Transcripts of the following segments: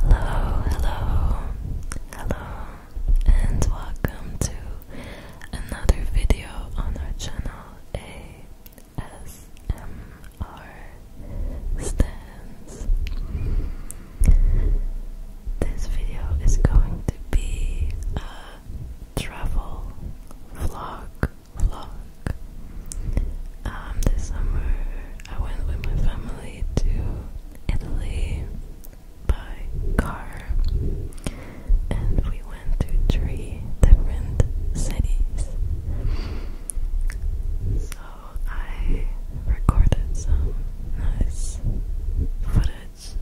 Hello, hello, hello, and welcome to another video on our channel. ASMR stands. This video is going to be a travel vlog, vlog, um, this summer I went with my family to Italy by car, and we went to three different cities. So I recorded some nice footage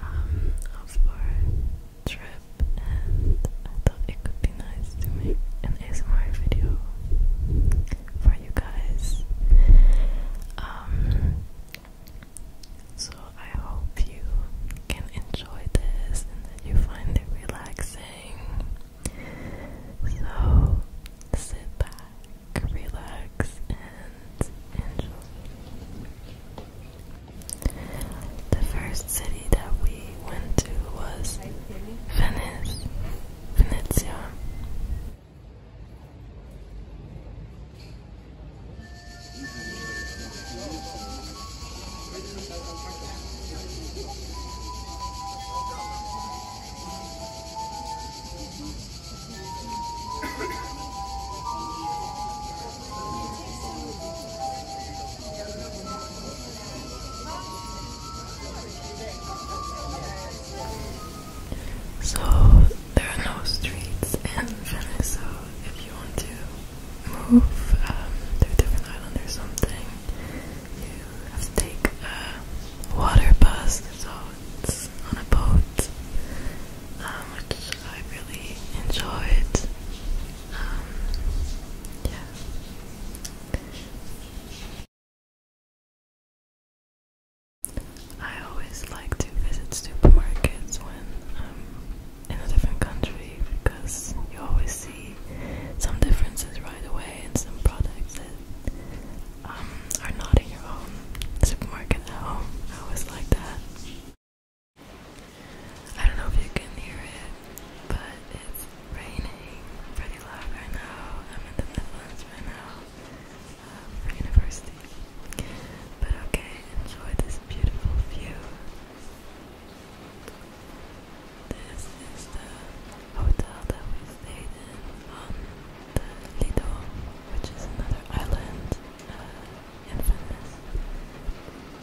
um, of our trip, and I thought it could be be nice to make an ASMR video for you guys. Um, so I hope you can enjoy this and that you find it relaxing. So sit back, relax, and enjoy. The first city that we we went to was Venice, Venezia. So there are no streets in Venice, so if you want to move um, different island or something, you have to take a water bus. So it's on a boat, um, which I really enjoyed. Um, yeah. I always like to visit supermarkets when I'm in a different country because you always see some differences right away in some products that um, are not in your own supermarket at home. I always like that. I don't know if you can hear it, but it's raining pretty loud right now. I'm in the Netherlands right now um, for university. But okay, enjoy this beautiful view. This is the hotel that we stayed in on the Lido, which is another island uh, in Venice.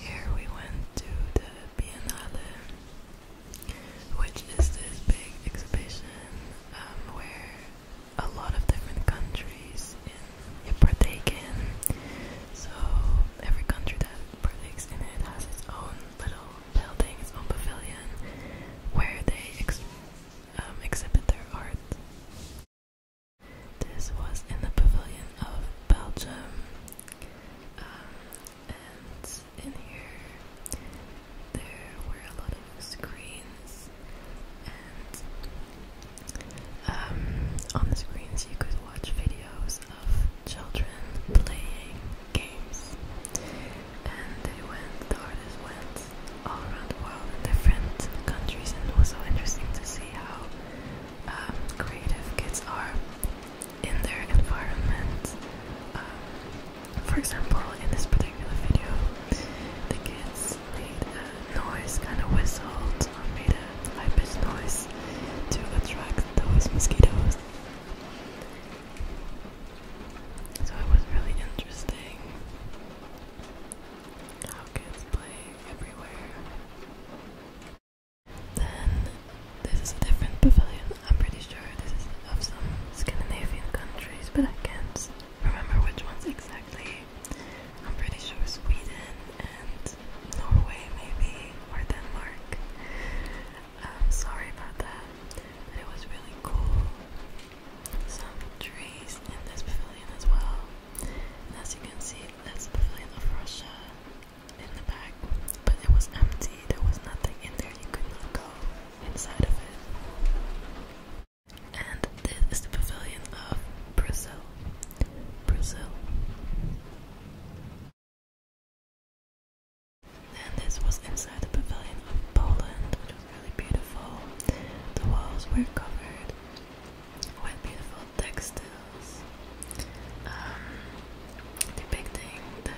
Here we went to the Biennale, which is this big exhibition um, where a lot of different countries in in. So every country that partakes in it has its own little building, its pavilion, where they um, exhibit their art. This was in the pavilion of Belgium, um, and in here there were a lot of screens, and um, on the screens you could watch videos of children playing games, and they went. The artists went all around the world different countries, and it was so interesting to see how um, creative kids are in their environment. Um, for example, in this particular video, the kids made a noise, kind of whistled or made a high pitched noise to attract those mosquitoes. So it was really interesting. Now kids play everywhere. Then this is a different pavilion. I'm pretty sure this is of some Scandinavian countries, but I can't remember which ones exactly. I'm pretty sure Sweden and Norway, maybe, or Denmark. I'm um, sorry about that, it was really cool some trees in this pavilion as well. as you can see, that's the pavilion of Russia in the back, but it was empty. There was nothing in there. You could not go inside of it. And this is the pavilion of Brazil. Brazil. And this was inside the pavilion of Poland, really beautiful. The walls were covered with beautiful textiles um, depicting the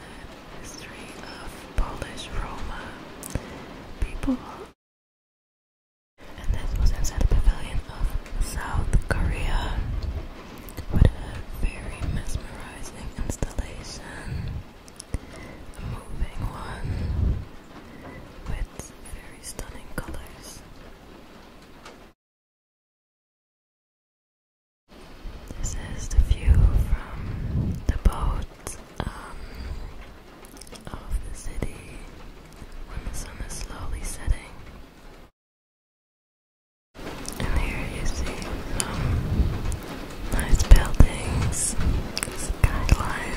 history of Polish Roma people. And this was inside the pavilion of South Korea with a very mesmerizing installation the moving one with very stunning colors. This is the view from the boat um, of the city when the sun is slowly setting. And here you see some nice buildings, skyline,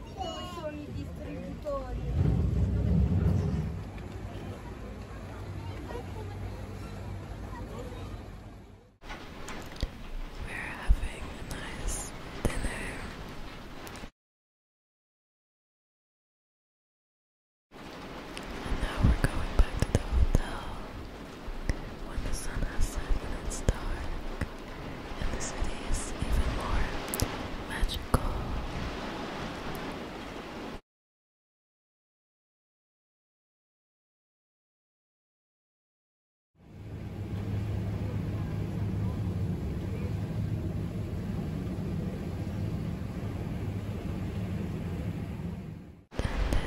We're having a nice dinner. And now we're going back to the hotel. When the sun has set and it's dark and the city is even more magical. And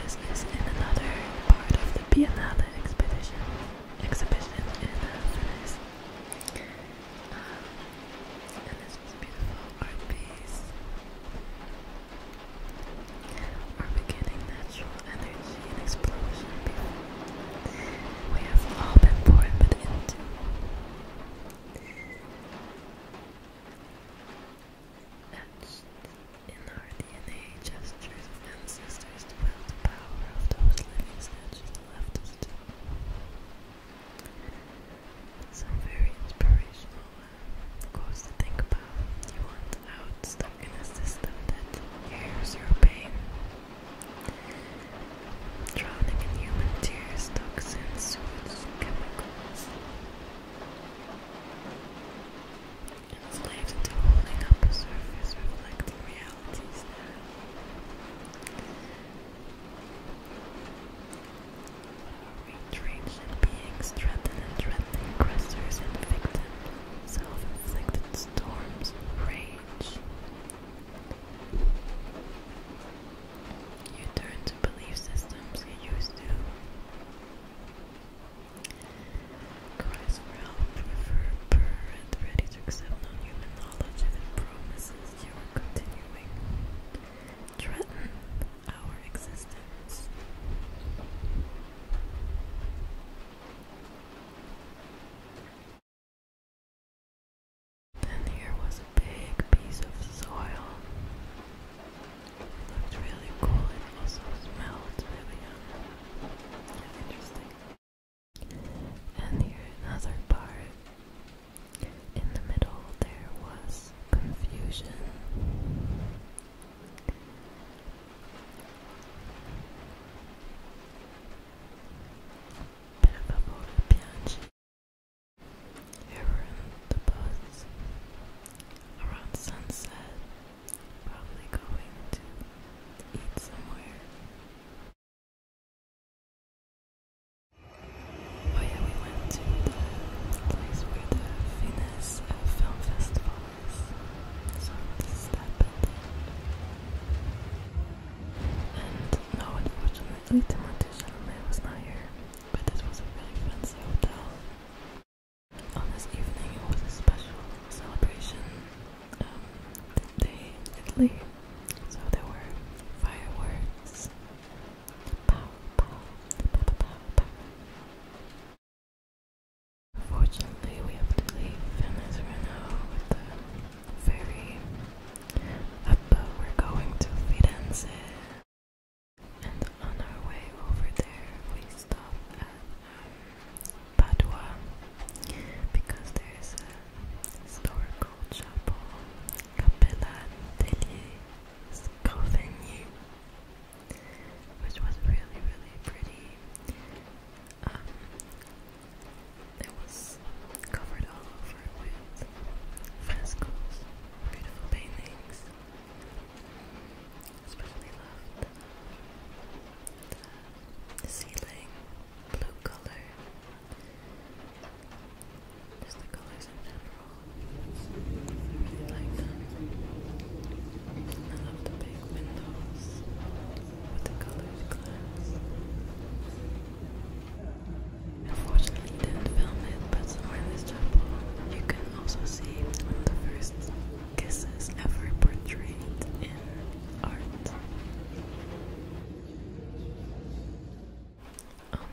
this is in another part of the Biennale expedition exhibition in uh, um, and this beautiful art piece. are beginning natural energy explosion. We have all been born but into. Etched in our DNA, gestures of ancestors to the power of those living statues left us very inspirational uh, to think about. You want out stuck in a system that hears your pain. Drowning in human tears, toxins, chemicals. Enslaved into holding up a surface reflecting reality penalties now. Ranged beings threaten and threatening aggressors and victims, self-inflicted storms, rage. You turn to belief systems you used to. Cries for help, prefer, ready to accept non-human knowledge and promises you are continuing threaten our existence. Then here was a big piece of soil. It looked really cool. It also smelled really um, interesting. And here another part. In the middle there was confusion. Per favore piangi. Here we're in the bus. Around sunset. Probably going to eat somewhere. Oh yeah, we went to the place where the Venice uh, Film Festival is. So this And no, unfortunately, Timothée Chalamet was not here, but this was a really fancy hotel. On this evening, it was a special celebration. Um, day in So there were fireworks. Pow, we have to leave Venice right now with the ferry but uh, we're going to Firenze. And on our way over there, we stop at um, Padua because there is a historical chapel, Capella degli Scovegni, which was really, really pretty. Um, it was covered all over with frescoes, beautiful paintings. Especially loved uh, the ceiling blue color. Just the colors in general. I like the big windows with the colored glass. Unfortunately, didn't film it, but in this chapel, you can also see one of the first kisses ever portrayed in on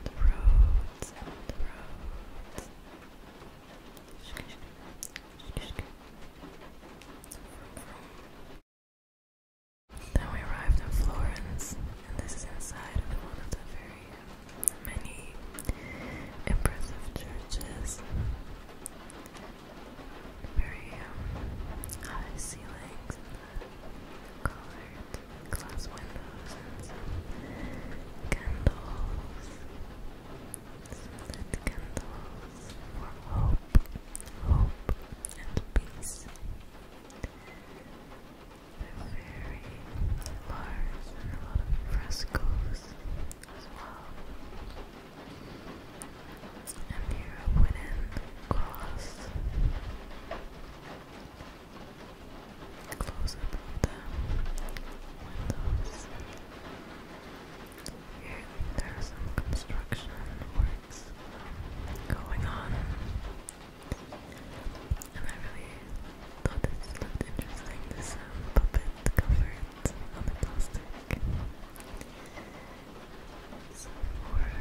the roads, then we arrived in Florence, and this is inside of one of the very many impressive churches very um, high ceilings and colored glass windows and some candles, candles for hope, hope and peace. They're very large and a lot of frescoes as well and you wouldn't cross close up of the Here there some construction works going on. And I really thought this looked interesting, this um, puppet covered on plastic some more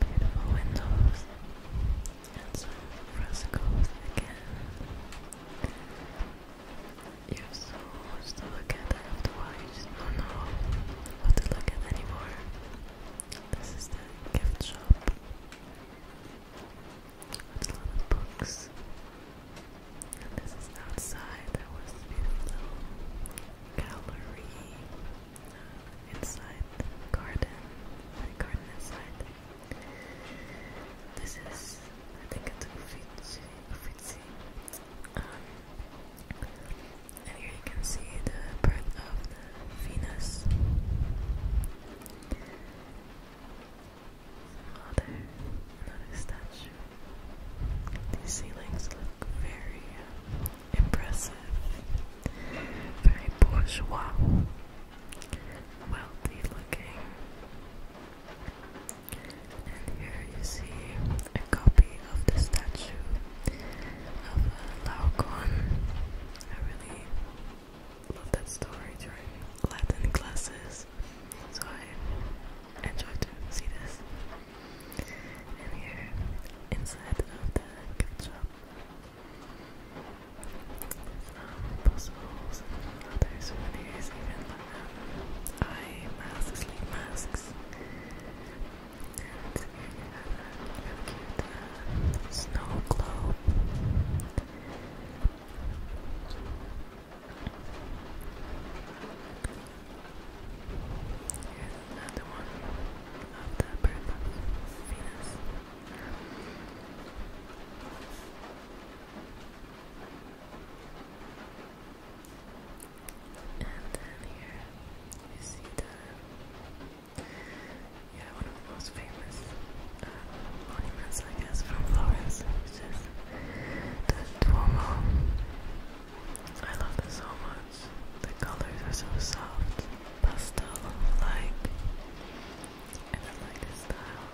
beautiful windows and some frescoes again. You're so to look at after a while, don't know what to look at anymore. This is the gift shop with of books. And this is outside, there was beautiful gallery inside the garden, garden inside. This is, I think it's Uffizi, Uffizi. Um, and here you can see the birth of the Venus. Another, statue. These ceilings very impressive, very bourgeois, wealthy looking. And here you see a copy of the statue of uh, I really love that story during Latin classes, so I enjoy to this. And here, inside of the gift shop, some puzzles and other souvenirs, uh, eye masks, sleep masks. And a cute uh, snow globe. Here's another one of the birth And then here you see the yeah, one of the most famous uh, monuments I guess from Florence, which is the Duomo I love this so much. The colors are so soft, pastel-like, and I like the style.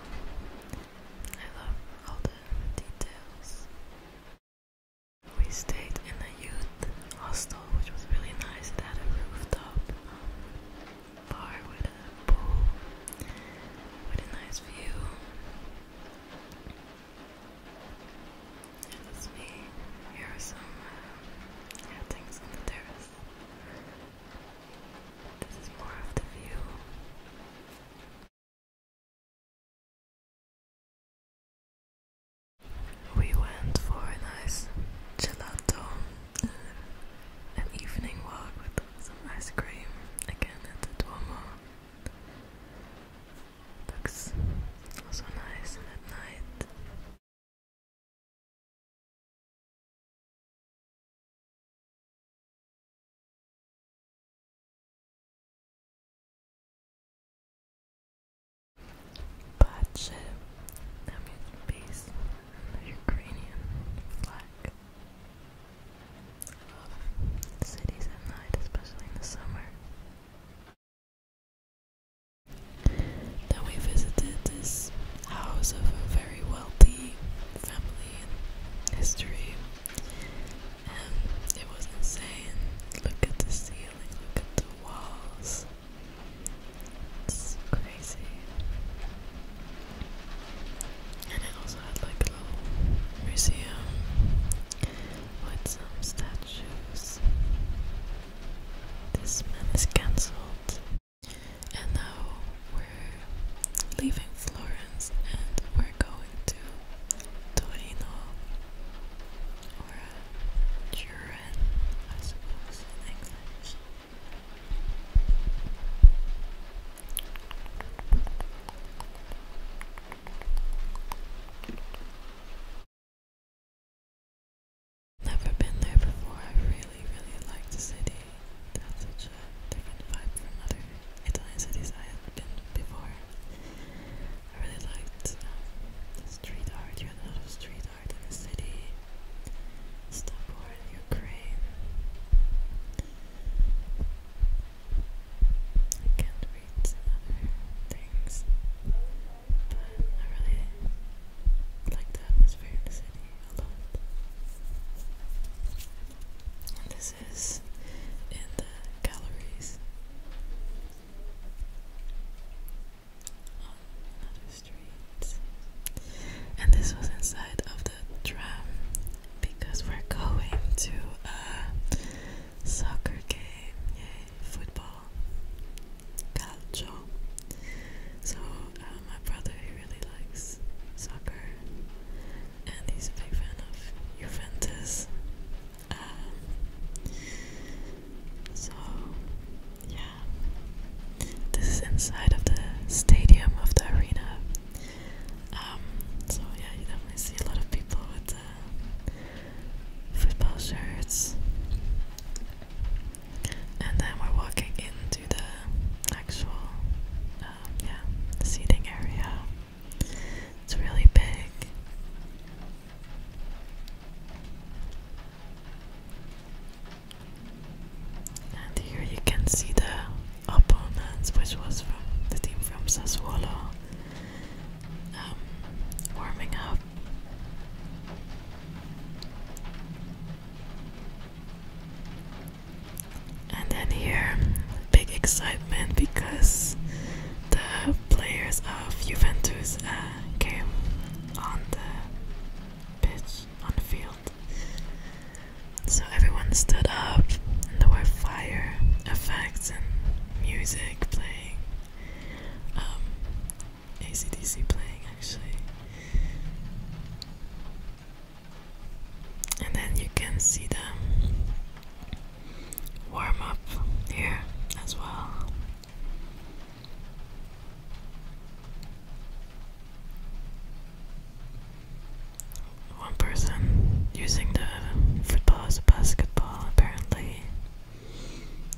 I love all the details. We stayed in a youth hostel, which was really nice. It had a rooftop um, bar with a pool, with a nice view it's me. Here are some uh, things on the terrace. This is more of the view. We went for a nice gelato, uh, an evening walk with some ice cream again at the Duomo. That's also nice at night. But I'm using base Ukrainian flag cities at night, especially in the summer. Then we visited this house of a very wealthy family in history, it was insane. Look at the ceiling, look at the walls. It's crazy. And it also had like museum with some statues. This man is cancelled. And now we're leaving Florence and we're going to Torino or uh, Turin, I suppose, Never been there before. I really, really like the city. That's such a different vibe from other Italian cities I have been to before. I really liked um, the street art. You had a lot of street art in the city. Stop war in Ukraine. I can't read some other things, but I really like the atmosphere in the a lot. this is in the galleries on another street. And this was inside of the tram because we're going to a soccer game, yay, football, calcio. So uh, my brother, he really likes soccer, and he's a big fan of Juventus. Um, so yeah, this is inside of the stadium of the arena. Um, so yeah, you definitely see a lot of people with uh, football shirts. And then we're walking into the actual um, yeah seating area. It's really big. And here you can see the opponents, which was the team from Sassuolo, um, warming up. And then here, big excitement because the players of Juventus uh, came on the pitch, on the field. So everyone stood up, and there were fire effects and music playing. Um, ACDC playing actually. And then you can see them warm up here as well one person using the football as a basketball, apparently.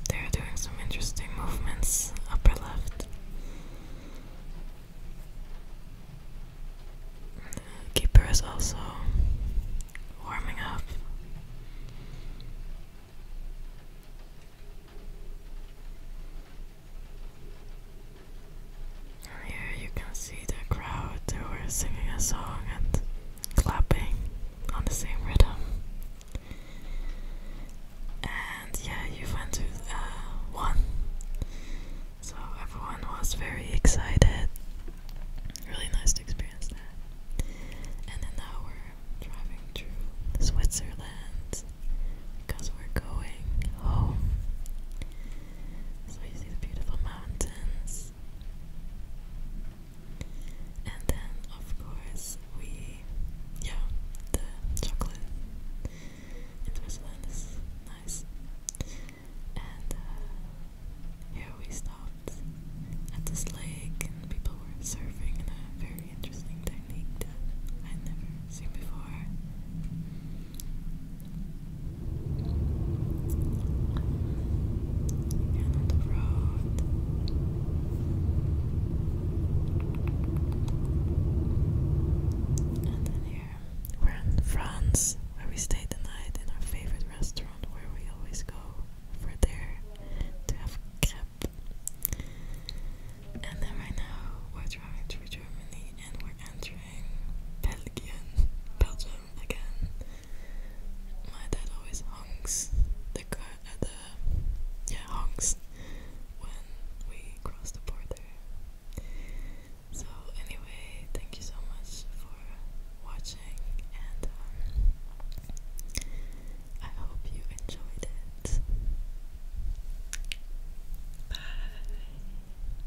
They're doing some interesting movements, upper left. The keeper is also warming up. And here you can see the crowd who are singing a song and clapping on the same rhythm. And yeah, you went uh, So everyone was very excited. Really nice to experience that. And now we're driving through Switzerland because we're going home. So you see the beautiful mountains. And then, of course, we, yeah, the chocolate in Switzerland is nice. And uh, here we stopped at this lake, and people were surfing in a very interesting technique that I'd never seen before we're in France, where we stayed the night in our favorite restaurant where we always go for there to have crepe. And then right now we're driving to Germany and we're entering during Belgium again. My dad always honks uh, the yeah honks when we cross the border. So anyway, thank you so much for watching, and um, I hope you enjoyed it. Bye.